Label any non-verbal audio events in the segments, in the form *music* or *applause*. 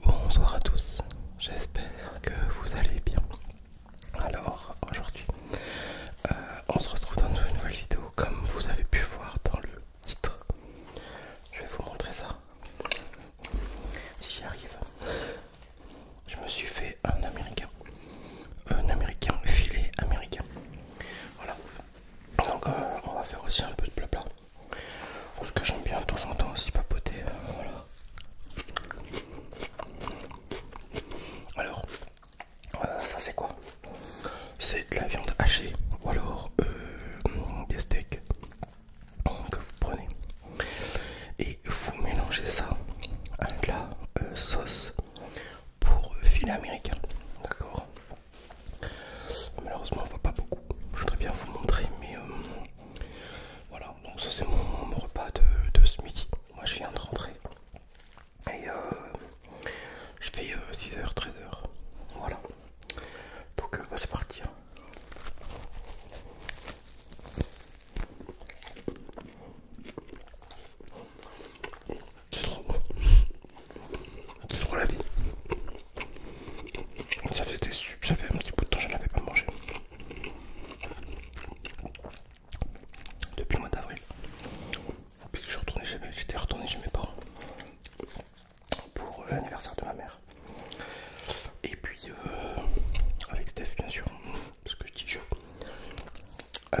Bonsoir à tous, j'espère que vous allez bien. Alors aujourd'hui, euh, on se retrouve dans une nouvelle vidéo comme vous avez pu voir dans le titre. Je vais vous montrer ça. Si j'y arrive, je me suis fait un américain. Un américain filet américain. Voilà. Donc euh, on va faire aussi un peu de blabla Parce que j'aime bien de temps en temps aussi papoter. Euh, voilà. Alors, euh, ça c'est quoi C'est de la viande hachée ou alors des steaks que vous prenez et vous mélangez ça avec la sauce pour filet américain. D'accord Malheureusement, on voit pas beaucoup. Je voudrais bien vous montrer, mais euh, voilà. Donc, ça, c'est mon, repas de, ce midi. Moi, je viens de rentrer et euh, je fais 6h, euh, 13h. Voilà. Donc, bah, c'est parti. Hein. C'est trop beau. C'est trop la vie. Ça ça fait un petit bout de temps que je n'avais pas mangé. Depuis le mois d'avril. Puis je retournais j'étais retourné chez mes parents pour euh, l'anniversaire de ma mère. Et puis euh, avec Steph bien sûr, parce que je dis je. Euh,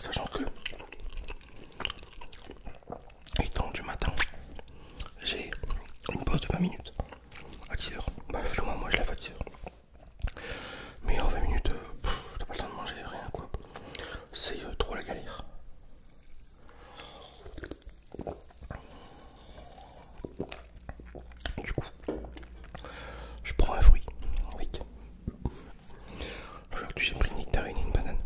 Sachant que, étant du matin, j'ai une pause de 20 minutes à 10h. Bah, moi, moi je lève à 10h. Mais en 20 minutes, euh, t'as pas le temps de manger, rien quoi. C'est euh, trop la galère. Du coup, je prends un fruit. Oui. Aujourd'hui, j'ai pris une nectarine et une banane.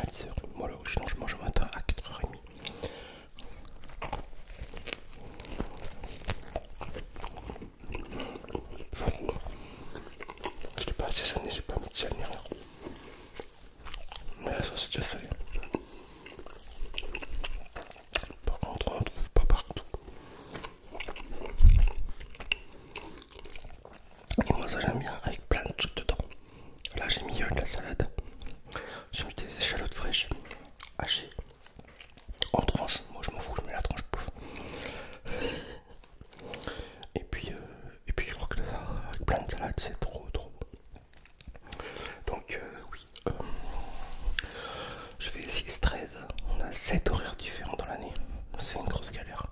À 10h. là, sinon je mange au matin à 4h30. Je l'ai pas assaisonné, j'ai pas mis de sel rien. Mais la sauce est déjà salée. Par contre, on trouve pas partout. Et moi, ça j'aime bien avec plein de trucs dedans. Là, j'ai mis euh, de la salade, j'ai mis des échalotes fraîches hachées en tranches. Moi, je m'en fous, je mets la tranche pouf. Et puis, euh, et puis, je crois que ça, avec plein de salade, c'est trop, trop. Donc, euh, oui, euh, je fais 6-13, on a 7 horaires différents dans l'année, c'est une grosse galère.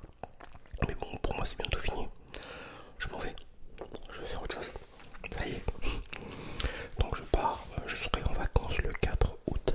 Mais bon, pour moi c'est bientôt fini. Je m'en vais, je vais faire autre chose. Ça y est. Donc je pars, euh, je serai en vacances le 4 août.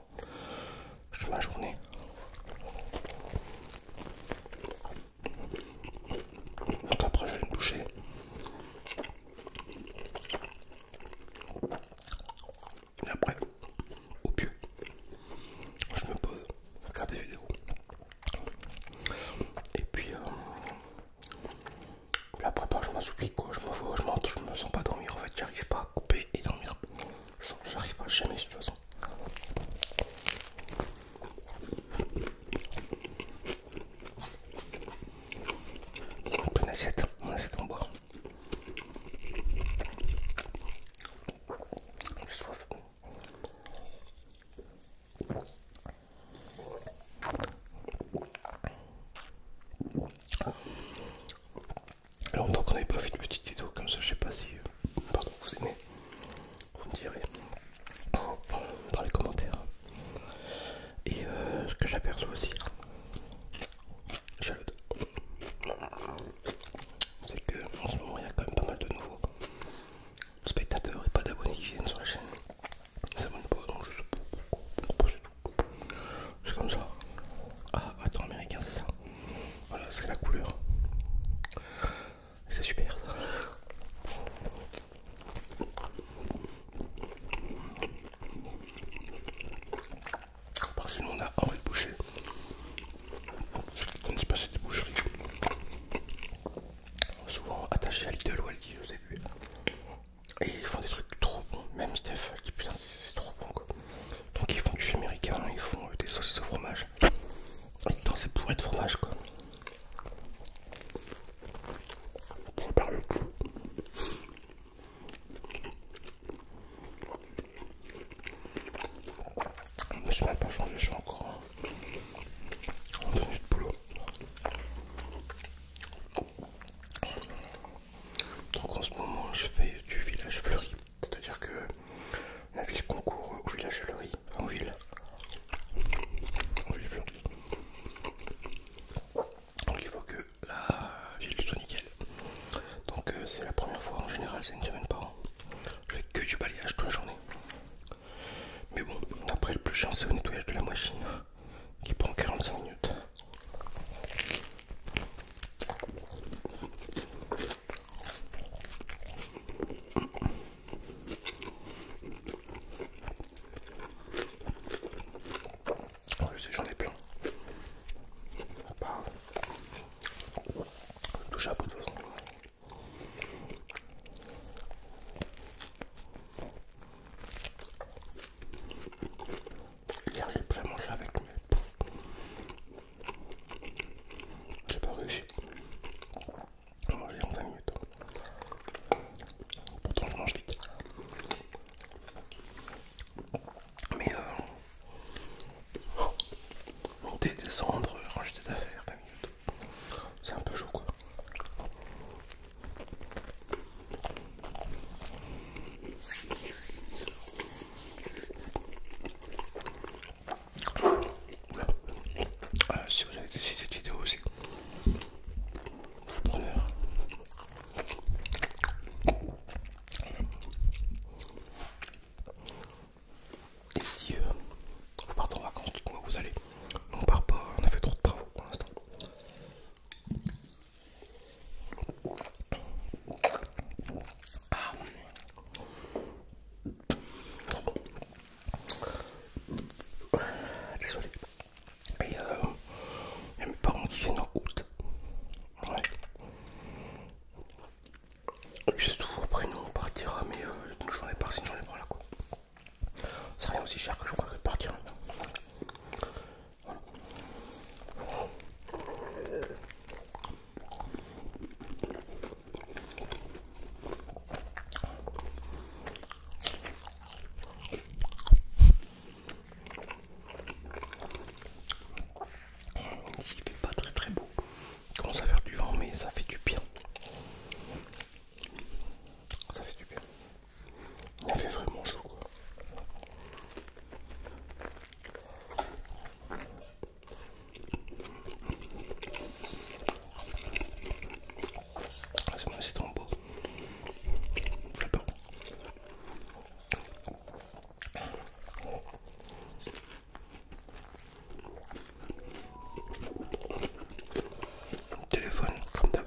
Je fais ma journée. Donc après, je vais me doucher. Et après, au mieux, je me pose, regarde des vidéos. Et puis, la euh, propre bah, je m'assoupis, quoi. Je me je me sens pas dormir. En fait, j'arrive pas à couper et dormir. Je sens j'arrive pas jamais de toute façon. En pleine assiette, mon assiette en bois. J'ai soif. Alors qu'on qu'on n'avait pas fait de petite vidéo comme ça, je sais pas si... pardon, vous aimez Vous me direz dans les commentaires. Et euh, ce que j'aperçois aussi, c'est que en ce moment il y a quand même pas mal de nouveaux spectateurs et pas d'abonnés qui viennent sur la chaîne. Ça s'abonnent pas, donc je sais pas c'est comme ça. Ah, attends, américain, c'est ça. Voilà, c'est la couleur. C'est super ça. Par chez nous, on a envie de Boucher. Ceux qui se connaissent pas, c'est des boucheries. Souvent attachés à Lidl ou à je sais plus. Et ils font des trucs trop bons, même Steph, euh, qui putain c'est trop bon quoi. Donc ils font du américain, ils font euh, des saucisses au fromage. Et dans ces être de fromage quoi. On perd le coup. Je me pas changé, je suis encore en euh, tenue de boulot. Donc en ce moment je fais du village fleuri, c'est-à-dire que la ville concourt au village fleuri, en ville. En ville Donc il faut que la ville soit nickel. Donc euh, c'est la première fois en général, c'est une semaine par an. Je fais que du balayage toute la journée. Mais bon, après le plus chiant c'est le nettoyage de la machine qui prend 45 minutes. Oh, je sais, j'en ai plein. Pas touche à bout de façon. Hier j'ai pu à manger avec mais J'ai pas réussi. à manger en 20 minutes. Pourtant je mange vite. Mais euh, monter, descendre, ranger d'affaires affaires, 20 minutes. C'est un peu chaud quoi. Euh, si vous avez décidé cette vidéo aussi, je prends l'heure. Et si euh, vous partez en vacances, dites-moi où vous allez. On part pas, on a fait trop de travaux pour l'instant. Ah. Désolé. il y a mes parents qui viennent en août. Ouais. c'est tout, après nous on partira, mais j'en ai parlé, par-ci, une là quoi. C'est rien aussi cher que je crois que partir. Hein. Ici il fait pas très très beau, commence à faire du vent mais ça fait du bien. Ça fait du bien. Il fait vraiment chaud quoi. Ah, c'est beau. Téléphone comme d'hab.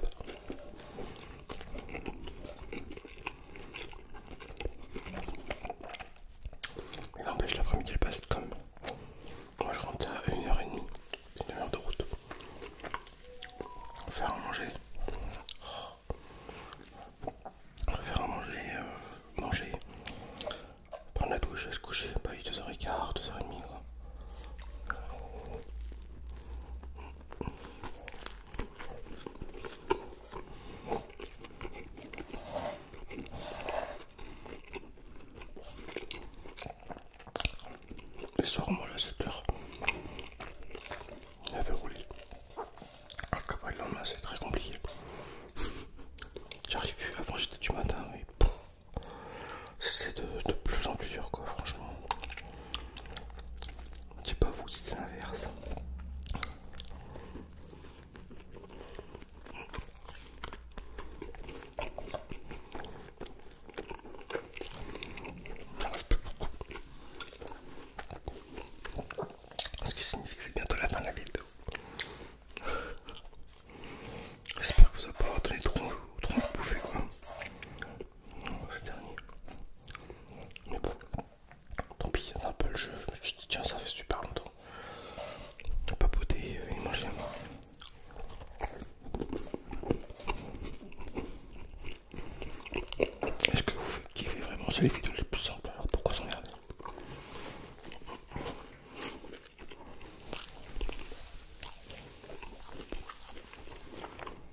Il empêche l'après-midi passe comme moi je rentre à 1h30, une heure de route. Faire à manger. Oh. Faire à manger, euh, manger. Prendre la douche, se coucher, 2h15, 2h30 quoi. Le soir, moi mange à 7 h Il avait roulé. Ah cabaret le lendemain, c'est très compliqué. *laughs* J'arrive plus. Avant, j'étais du matin, mais c'est de, plus en plus dur quoi franchement je sais pas vous si c'est l'inverse ce qui signifie que c'est bientôt la fin de la vidéo. J'espère que vous n'avez pas donné trop, trop quoi le dernier. Mais bon, tant pis, c'est un peu le jeu. Je me suis dit, tiens, ça fait super longtemps. Papoter euh, et mangeait Est-ce que vous kiffez vraiment C'est les vidéos les plus simples, alors pourquoi s'en garder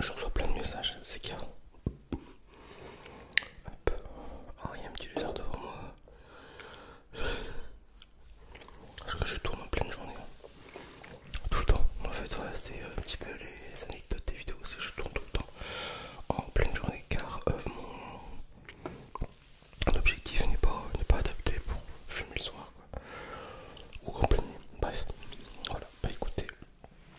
Je reçois plein de messages, c'est qu'il Hop. Oh, il y a un petit lézard devant moi. Parce que je tourne en pleine journée. Hein. Tout le temps. En fait, c'est un petit peu les anecdotes des vidéos. C'est je tourne tout le temps en pleine journée car euh, mon objectif n'est pas, pas adapté pour filmer le soir. Ou en pleine nuit. Bref. Voilà. Bah écoutez.